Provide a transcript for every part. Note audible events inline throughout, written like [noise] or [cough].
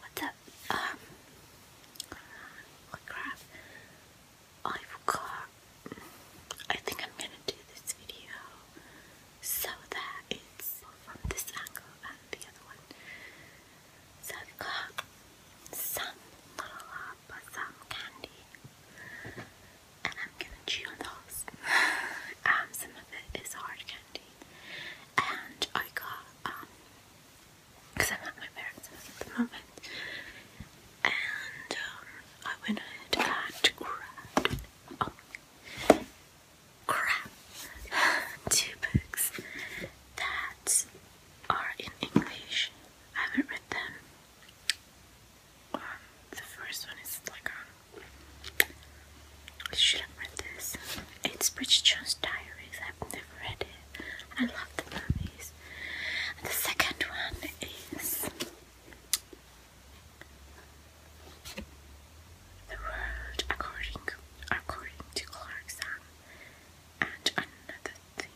What's up? Um. Oh crap. I forgot. I think I'm gonna do this video so that it's from this angle and the other one. So some, not a some candy. And I'm gonna those. [sighs] um, some of it is hard candy. And I got because I'm at my parents' at the moment. And um, I went ahead and oh, crap, [sighs] two books that are in English. I haven't read them. Um, the first one is like um, should have read this. It's Bridget Jones' Diaries. I've never read it. I love the movies. And the second one is The World According According to Clarkson and another thing.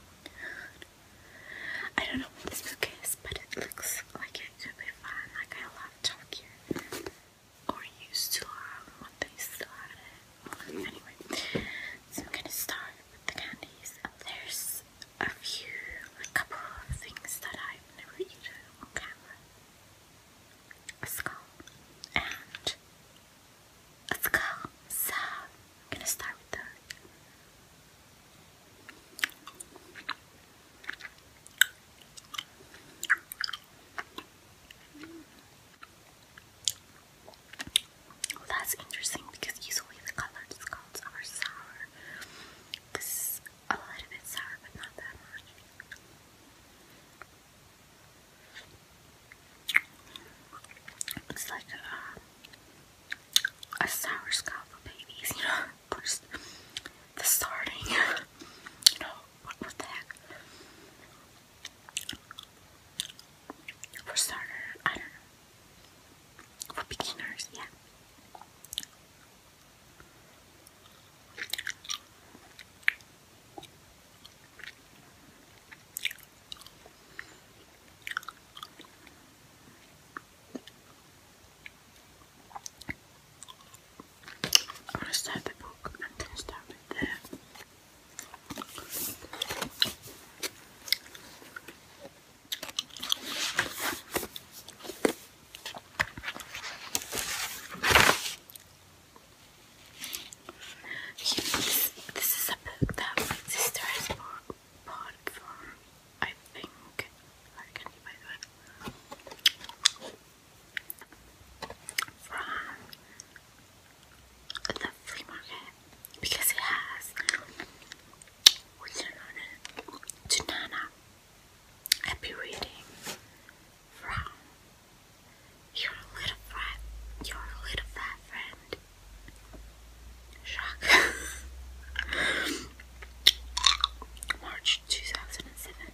I don't know what this book is, but it looks like it could be fun. Like I love Tokyo or used to have they still had it. Anyway, so I'm gonna start with the candies. There's a few, a couple of things that I've never eaten on camera. A skull and a skull. So I'm gonna start with that that's interesting because usually the colored skulls are sour. This is a little bit sour, but not that much. It's like uh, a, sour skull for babies, you know, [laughs] the starting, [laughs] What, the heck? For starter, I don't know. For beginners, yeah i start the book and then start with You this, is a book that my sister bought, for, I think, from the flea market because it has written on it to Nana. i reading from your little friend, your little fat friend. Shock. [laughs] March 2007.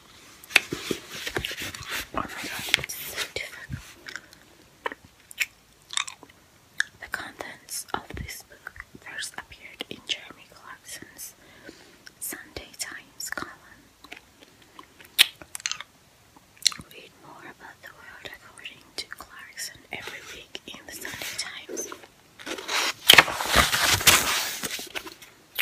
it's so difficult. The contents of this book first appeared in Jeremy Clarkson's Sunday Times column. Read more about the world according to Clarkson every week in the Sunday Times. Okay,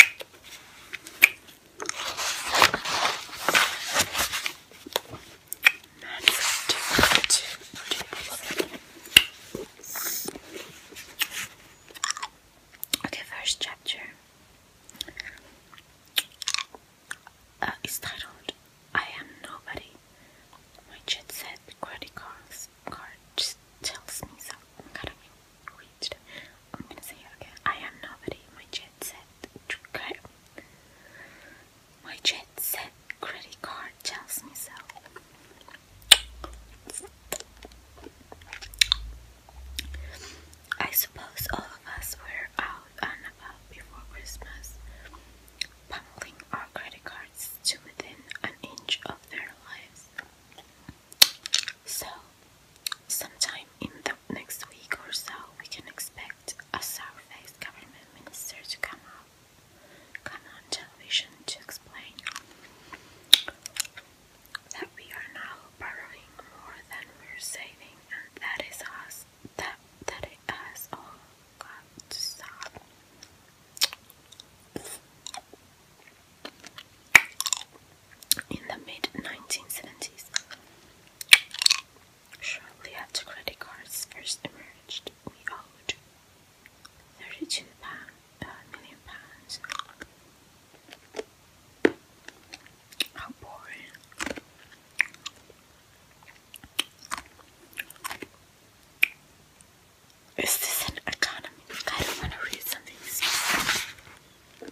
first chapter uh, titled I Am Nobody. My jet set credit cards card just tells me so. I'm gonna say it I am nobody. My jet set. My jet set credit card tells me so. I suppose all of us were out and about before Christmas, pummeling our credit cards to within an inch of their lives. So sometime in the next week or so, we can expect a surface government minister to come up, come on television to explain that we are now borrowing more than we're saving, and that is us. That that all stop in the mid 1970s. Shortly after credit cards first emerged, we owed £32 uh, How boring. Is this an economy? I don't want to read something.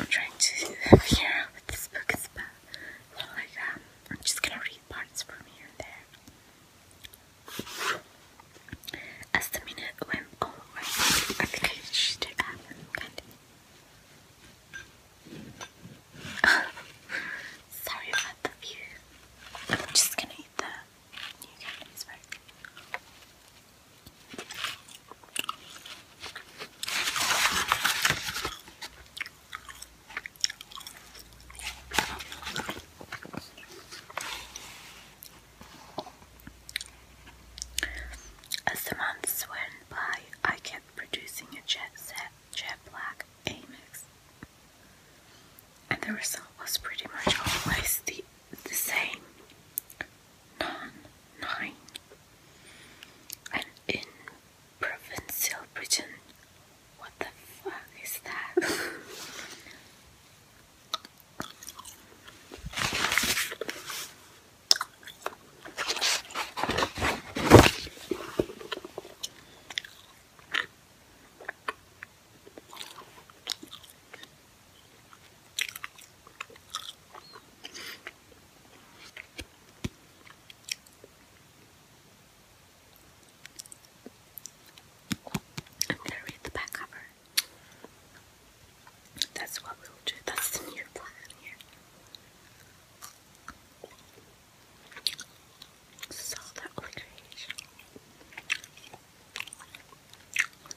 I'm trying to figure out what this book is about. like, um, I'm just gonna read parts from here and there. As the minute went on, I think I should have kind [laughs] Sorry about the view. just gonna eat that. You As the months went by, I kept producing a jet set, jet black Amex and the result was pretty much always the, the same. Non, nine. And in provincial Britain, what the fuck is that? [laughs] I'm gonna read the back cover. That's what we'll do. That's the new plan here is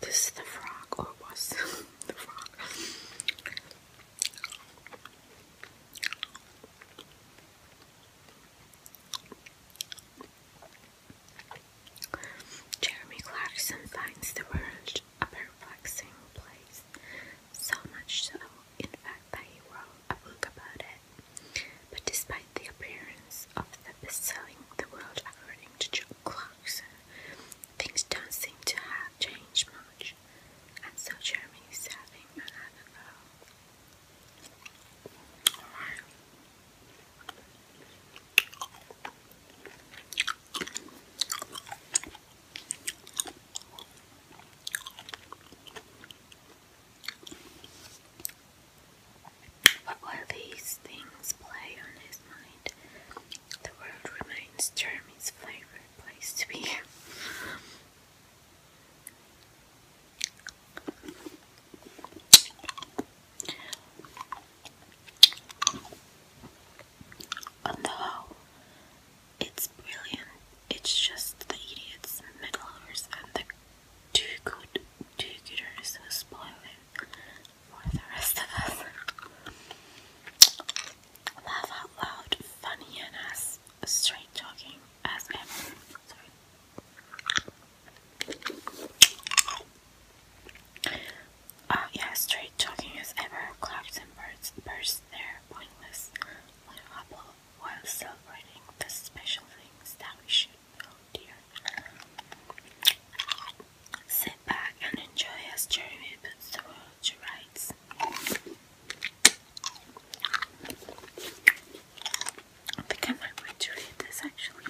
This the frog, or was [laughs] the frog. Jeremy Clarkson finds the world a perplexing place, so much so, in fact, that he wrote a book about it. But despite the appearance of the best-selling The World According to Joe Clarkson, things don't seem to have changed much, and so Jeremy is having another go. But while these things play on his mind, the world remains Jeremy's favorite place to be. On the it's brilliant it's just the idiots, mad lovers, and the too good do gooders who spoil it for the rest of us. Laugh out loud, funny and as straight talking as ever. Sorry. Uh, yeah, straight talking as ever. Clouds and birds burst their pointless little while celebrating the special things that we should hold dear. Sit back and enjoy as Jeremy puts the world to rights. I think I read this actually.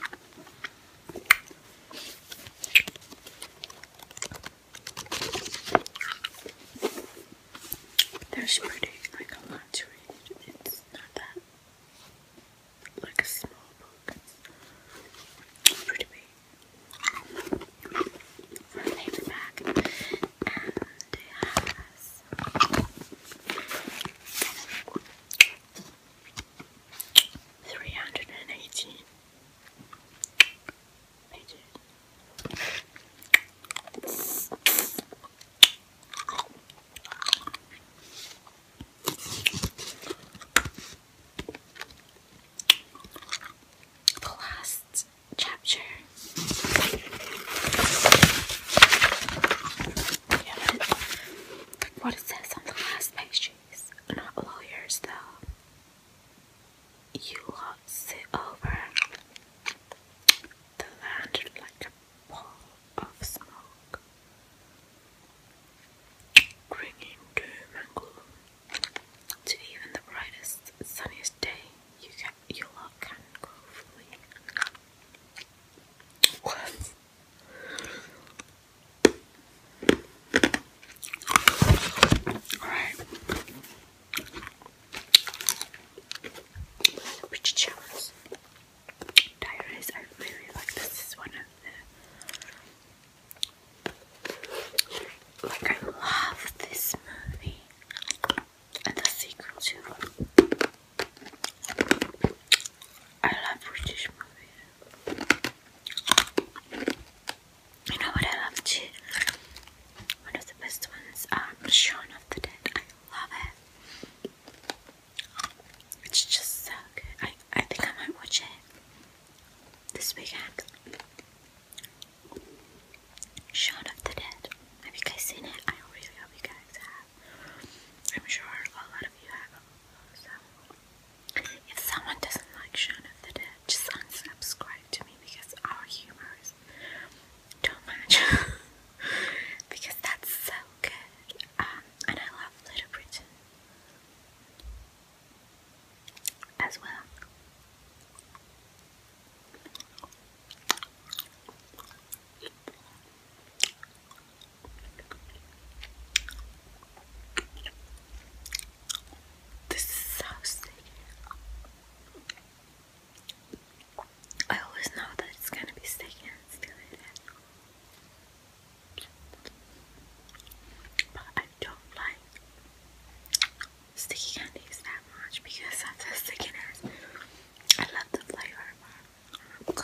There's pretty like a lot to read. It's not that like a small book. pretty big for a paperback, and it has three hundred and eighteen pages. The last chapter. what it says on the last page is not lawyers though you lot sit over the land like a pall of smoke, bringing doom and gloom to even the brightest, sunniest day you can, your luck can go flee. Alright. These are Diaries, I really like this. This is one of the. Like, I love this movie. And the sequel, too. I love British movies. You know what I love too? One of the best ones, um, Shaun of the Dead. I love it. It's just so good. I, I think I might watch it this weekend. Shaun of the Dead. Have you guys seen it? I really hope you guys have. I'm sure a lot of you have. So, if someone doesn't like Shaun of the Dead, just unsubscribe to me because our humor is eyes don't match because that's so good. Um, and I love Little Britain as well. This is so sticky. I always know that it's gonna be sticky But I don't like sticky candies that much because of the stickiness. I love the flavor, oh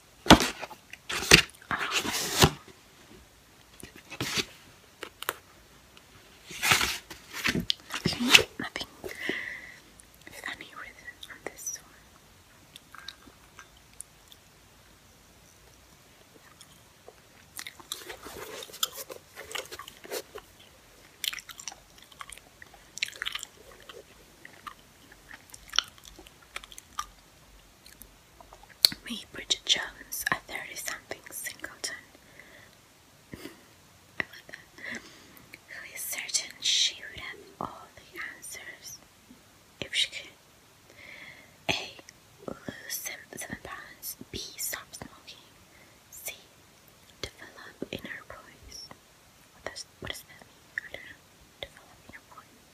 Um, Okay, nothing funny with on this one. Me, Bridget Jones, a 30 something singleton. [laughs] I love that. Who is certain she would have all the answers if she could? A. Lose seven, seven pounds. B. Stop smoking. C. Develop inner voice. What does what does that mean? I don't know develop your voice.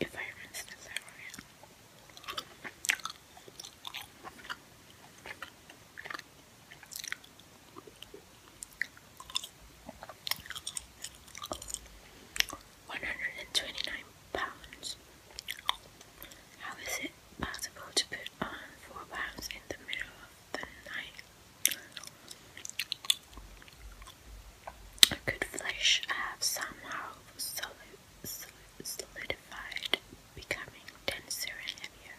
If I rinse this area, one hundred and twenty-nine pounds. How is it possible to put on four pounds in the middle of the night. Good flesh have somehow solidified, becoming denser and heavier.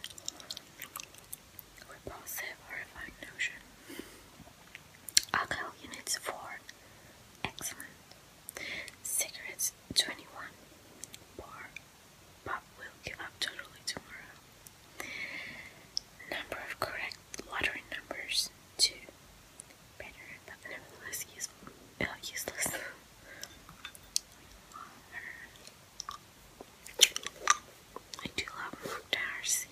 Repulsive, horrifying notion. Alcohol units 4. Excellent. Cigarettes 21. Bar Bob will give up totally tomorrow. Number of correct lottery numbers two. Better, but nevertheless useful. Uh, useless. I do love Darcy.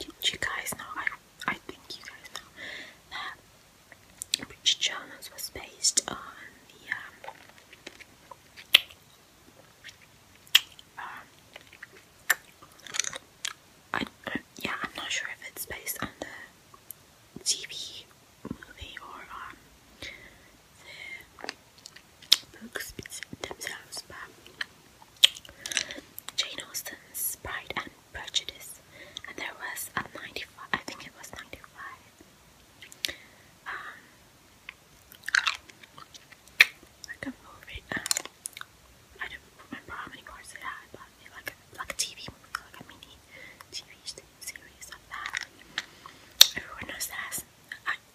you guys know? I I think you guys know that which journals was based on the um, um, I, uh, yeah, I'm not sure if it's based on the TV movie or on um, the books themselves, but Jane Austen's Pride and prejudice and there was a 95 I think it was 95 um, like a movie um, I don't remember how many parts it had but like a, like a TV movie like a mini TV series of that everyone knows that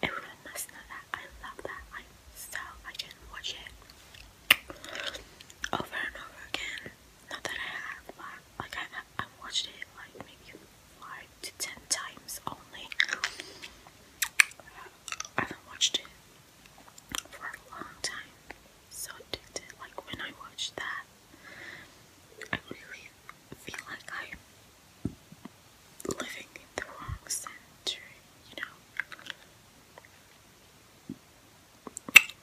everyone must know that I love that I so I can watch it over and over again not that I have, like I, have watched it like maybe five to ten times only. I haven't watched it for a long time. So Like when I watched that, I really feel like I'm living in the wrong century, you know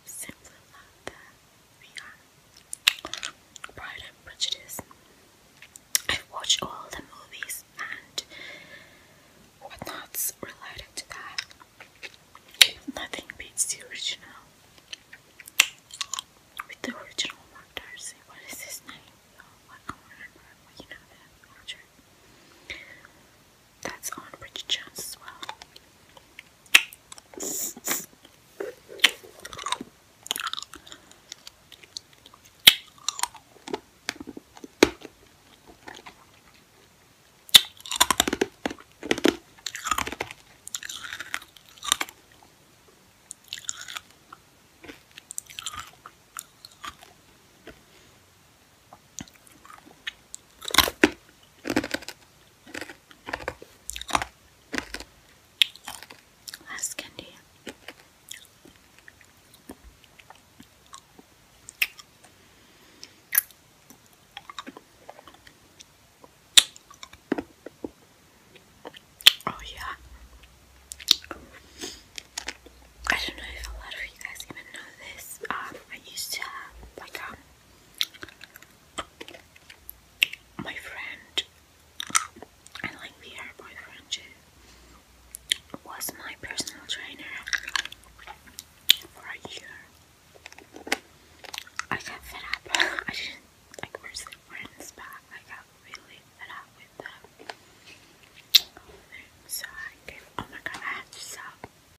simply love that Pride and Prejudice. I've watched all the movies and whatnots related to that. Nothing beats the original. With the original Mark what is his name? Oh, I don't remember, you know that, Roger. That's on Bridget Jones as well. Last candy. Oh yeah. I don't know if a lot of you guys even know this. Um, I used to have like um my friend, and like the her boyfriend too, was my personal trainer for a year. I got fed up. [laughs] I did like we're still friends, but I got really fed up with them. So I Oh my god! I had to stop.